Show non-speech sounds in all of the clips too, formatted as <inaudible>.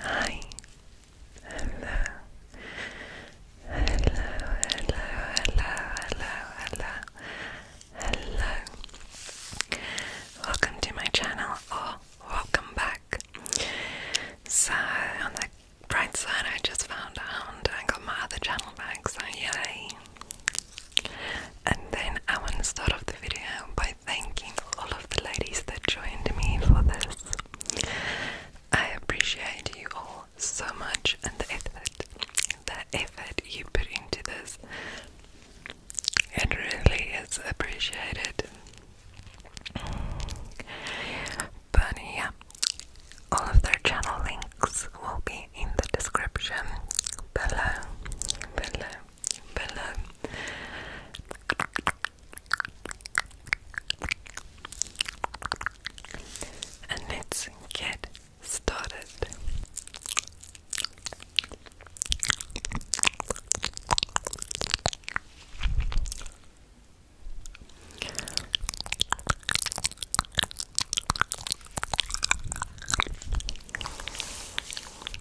Hi. Hello. Hello, hello, hello, hello, hello, Welcome to my channel, or welcome back. So, on the bright side, I just found out I got my other channel back, so yay. And then I want to start off the video by by thanking all of the ladies that joined me for this. I appreciate you all so much and the effort, the effort you put into this. It really is appreciated. But yeah, all of their channel links will be in the description below, below, below. And let's get started.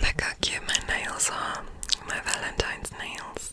Look how cute my nails are, my Valentine's nails.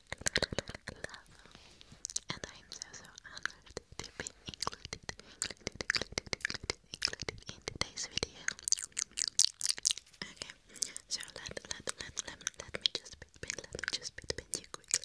And I'm so so honored to be included, in today's video. Okay, so let let let let me just bit bit let me just bit bit you quickly,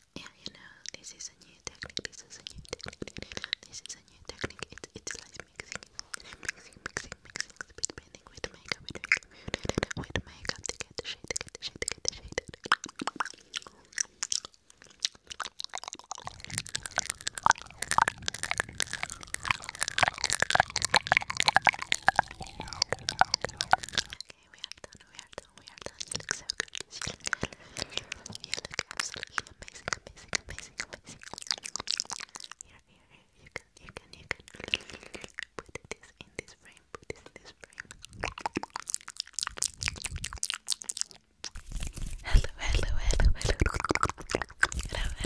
Yeah, you know, this is a new technique, this is a new technique, this is a new technique, it's, it's like mixing, mixing, mixing, mixing, speed painting with makeup, with makeup, with makeup to get the shade, to get the shade, to get the shade. Okay, we are done, we are done, Oh my you look so good. You look absolutely amazing, amazing, amazing, amazing. Here, here, here. You can, you can, you can put this in this frame. Put this in this frame. Hello, hello, hello, hello. Hello,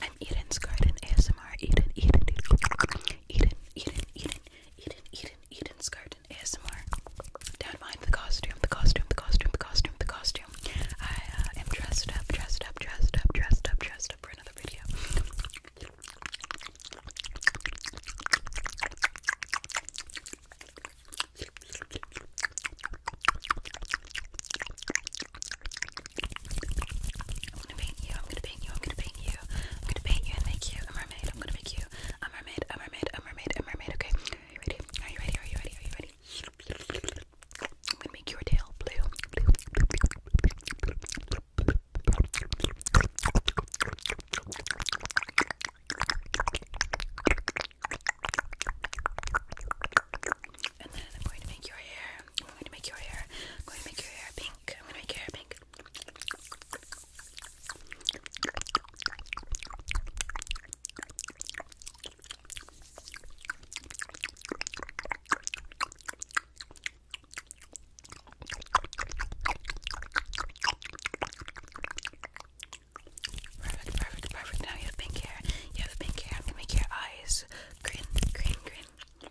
I'm Eden's Garden ASMR. Eden, Eden, Eden, Eden, Eden, Eden, Eden, Eden's Garden ASMR. Don't mind the costume, the costume, the costume, the costume, the costume. I uh, am dressed up, dressed up, dressed up, dressed up, dressed up for another video. I'm gonna paint you, I'm gonna paint you, I'm gonna paint you, I'm gonna paint you and make you a mermaid. I'm gonna gonna make you a mermaid, a mermaid, a mermaid, a mermaid. Okay, are you ready? Are you ready? Are you ready? Are you ready? I'm gonna make your tail blue. And then I'm going to make your hair. I'm going to make your hair. I'm going to make your hair pink. I'm going to make your hair pink. Perfect, perfect, perfect. Now you have pink hair. You have pink hair. I'm gonna make your eyes green, green, green.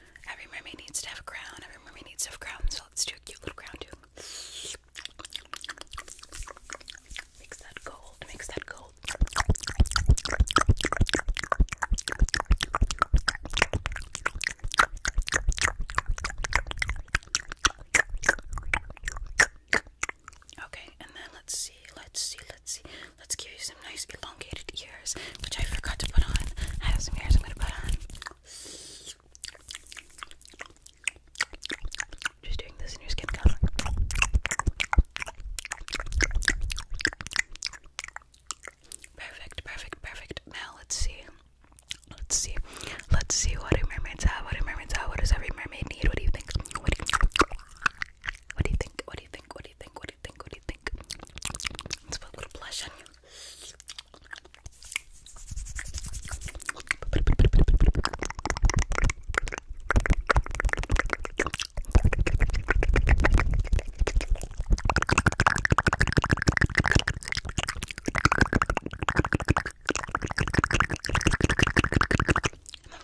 Every mermaid needs to have a crown. Every mermaid needs to have a crown. So let's do a cute little crown too. Mix that gold. Mix that gold. Okay, and then let's see, let's see, let's see. Let's give you some nice elongated ears, which I forgot to put on. I have some ears I'm gonna put on. Just doing this in your skin color. Perfect, perfect, perfect. Now let's see. Let's see. Let's see what do mermaids have? What do mermaids have? What does every mermaid need? What do you think? What do you think? What do you think? What do you think? What do you think? What do you think? What do you think? Let's put a little blush on you. I'm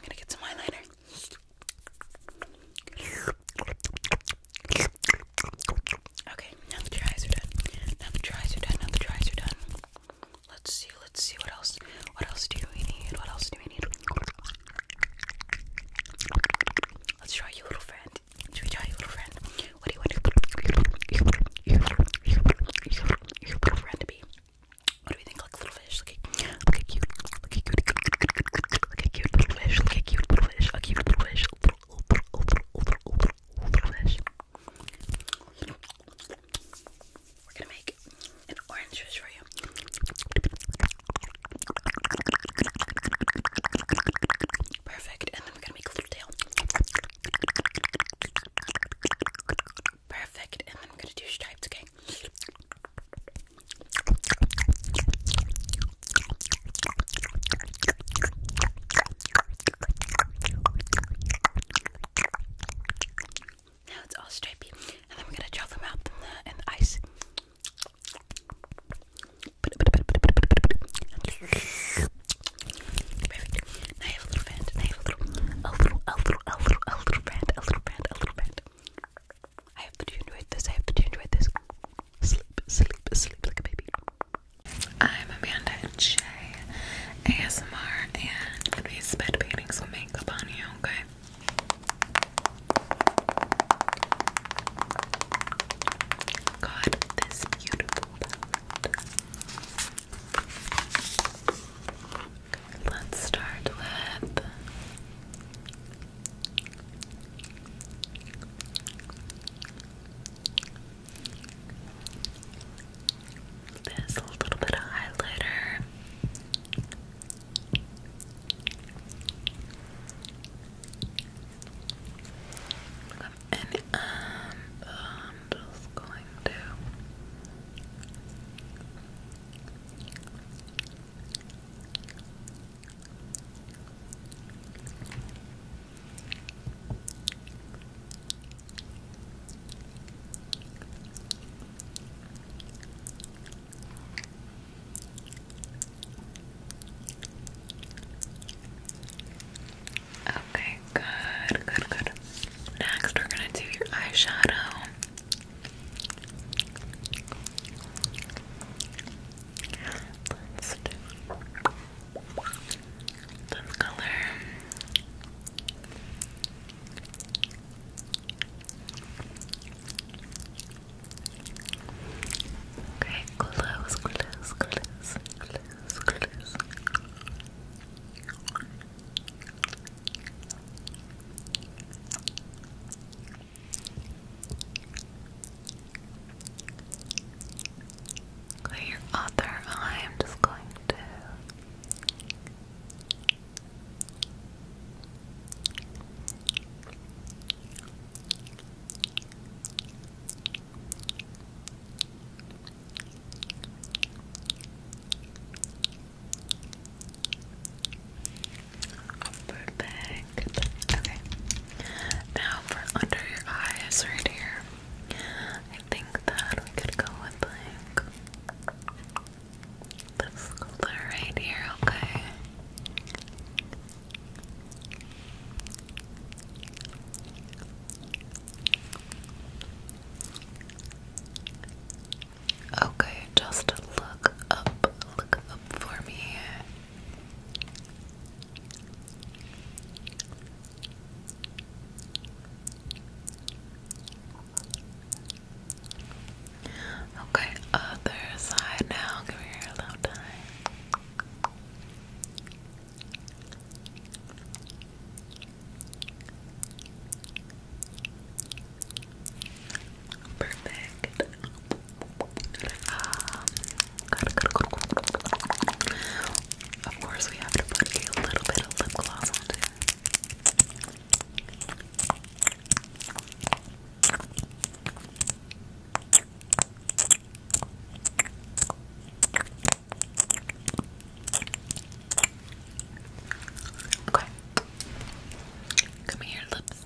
gonna get some eyeliner. Okay, now the dries are done. Now the dries are done. Now the dries are done. Let's see. Let's see what else. What else do we need? What else do we need? Let's try you, little friend. Should we try you, little friend? What do you want friend to be? What do we think? Like little fish. Look at, look at cute. Look at cute. little fish. Look at little fish. A little fish. We're gonna make an orange fish for you. Perfect. And then we're gonna make a little tail. Perfect. And then I'm gonna do stripes, okay? Now it's all stripy, and then we're gonna draw them out in the, ice. a little a little, a little, a little, a a little band. A little band. I have to enjoy this. I have to enjoy this. Sleep, sleep, sleep like a baby. I'm Amanda J. ASMR, and today's bed painting some makeup on you, okay? Got this beautiful let's start with. There's a little bit of highlighter. And um, I'm just going to Okay, good, good, good. Next, we're gonna do your eyeshadow. Let's do the color. Okay, close, close, close, close, close. Okay, Clear your other eye. I'm just going to Perfect. Okay. Now for under your eyes right here. I think that we could go with like this color right here, okay? Okay, just look up, look up for me. Okay, other side now. Give me your little time. Perfect. Um, of course, we have to put a little bit of lip gloss on too. Okay. Come here, lips.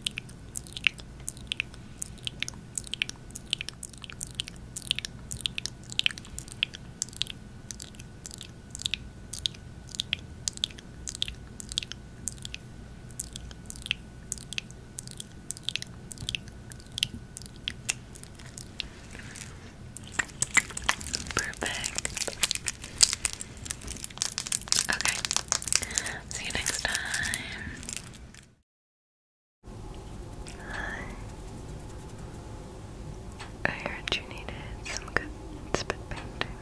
Perfect. Okay. See you next time. Hi. I heard you needed some good spit painting.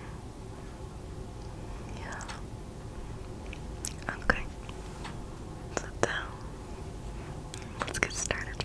Yeah. Okay. Sit down. Let's get started.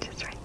Just right. right.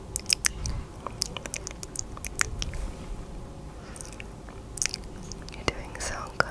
You're doing so good.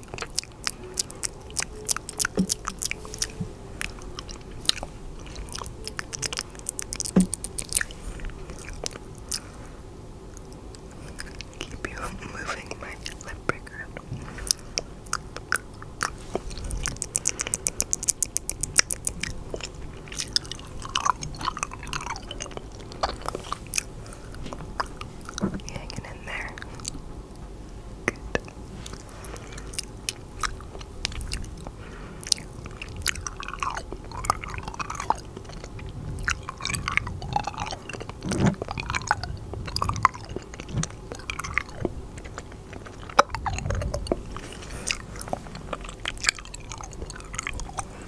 Keep you <laughs> moving my lip breaker. You hanging in there? Good.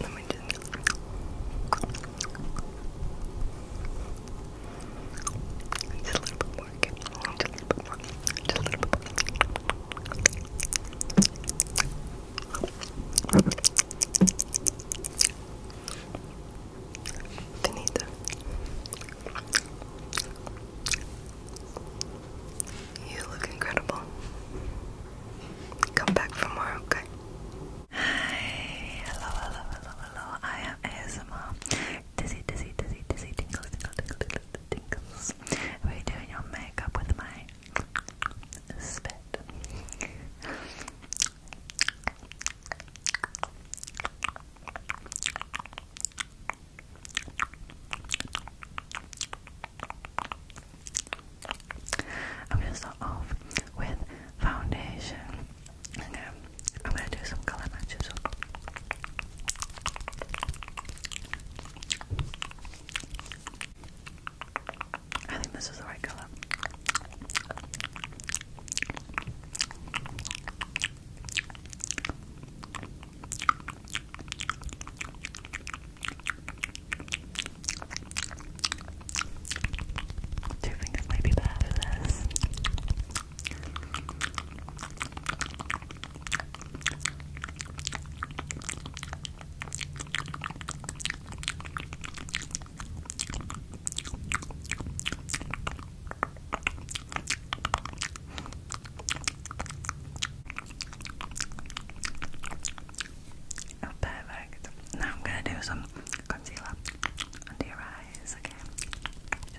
Let me just. Just a little bit more. Okay. Just a little bit more. Just a little bit more. Finito. You look incredible. Come back for more, okay? Hi, hello, hello, hello, hello. I am ASMR. Dizzy, dizzy, dizzy, dizzy, tinkle, tinkle, tinkle, tinkle, tinkles. We're doing your makeup with my spit. I'm gonna start off with foundation. I'm gonna do some color matches. I think this is the right color. Do you think be bad for this? Oh, perfect. Now I'm going to do some concealer under your eyes, okay?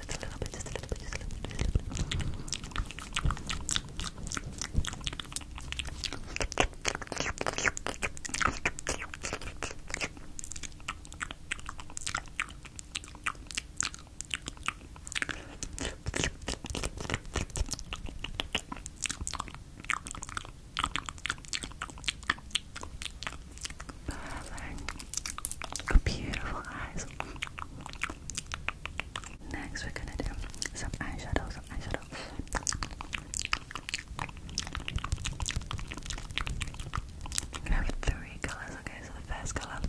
just a little bit, just a little bit, just a little bit. Perfect. Beautiful eyes. Next, we're gonna do some eyeshadow, some we have three colors, okay? So the first color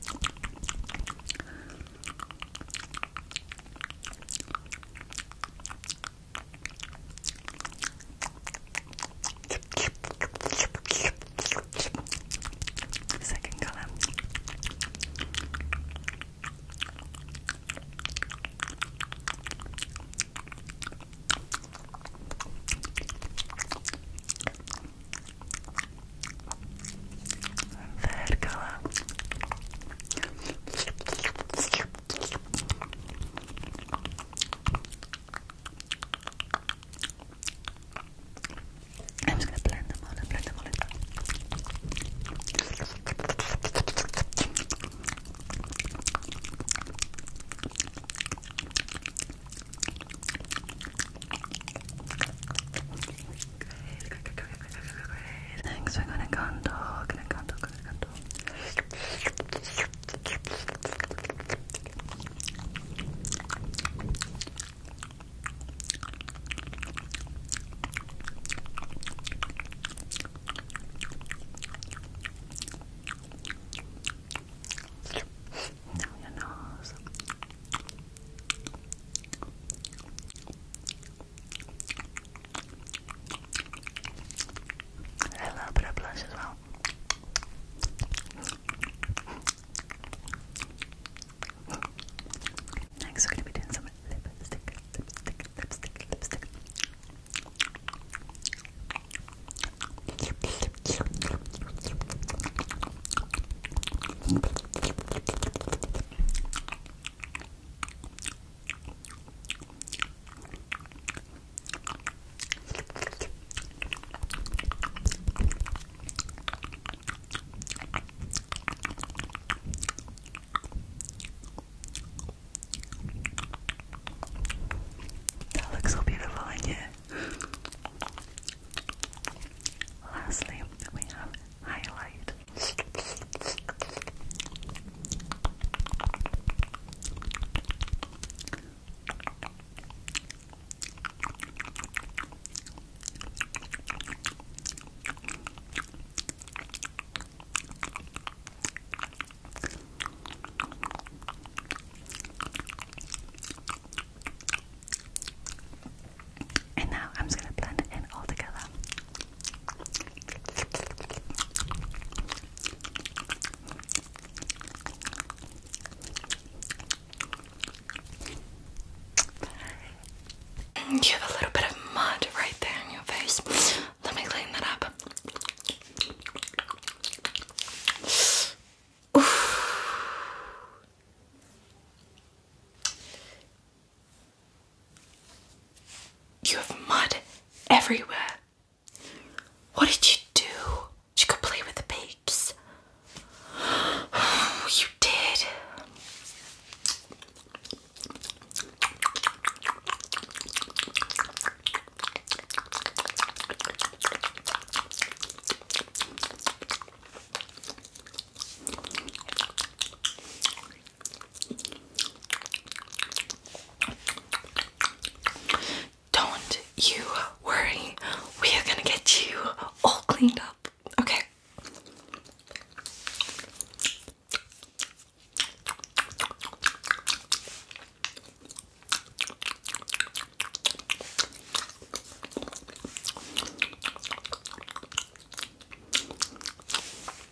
Second colour. And third colour. I'm just gonna blend them all and blend them all in. Good, good, good, good, good, good, good, are gonna contour, gonna contour, gonna contour. Down your nose. A little bit of blush as well. Next, we're gonna be doing some lipstick, lipstick, lipstick, lipstick. That looks so beautiful in you. Lastly, we have highlight. And now I'm just gonna blend it in all together. You have a little bit of mud right there in your face. Let me clean that up. You have mud everywhere. What did you do? Did you go play with the pigs. Oh, you did. Don't you worry, we are gonna get you all cleaned up, okay?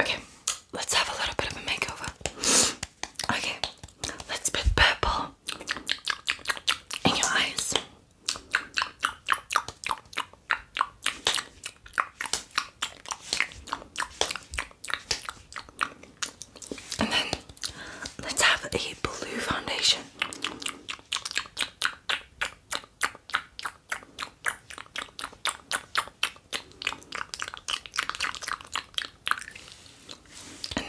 Okay, let's have a little bit of a makeover. Okay, let's put purple in your eyes. And then let's have a blue foundation. And then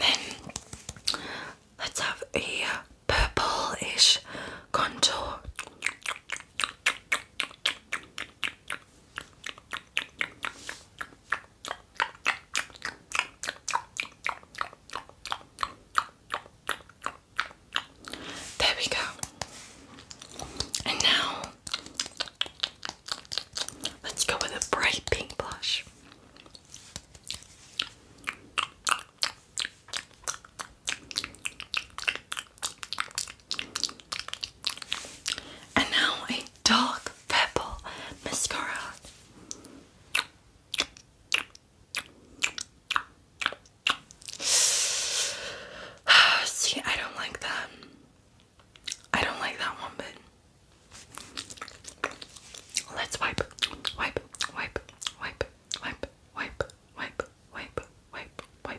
let's have a purplish contour. There we go. And now let's go with a bright pink blush. And now a dark purple mascara. See, I don't like that. I don't like that one bit. Let's wipe, wipe, wipe, wipe, wipe, wipe, wipe, wipe, wipe, wipe.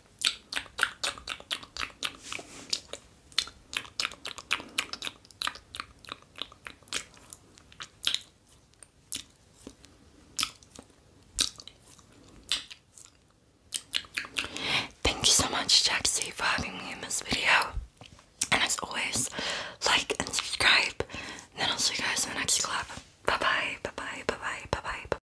Thank you so much, Jaxie, for having me in this video. And as always, like and subscribe. And then I'll see you guys in the next collab. Bye bye, bye bye, bye bye, bye bye. bye, -bye.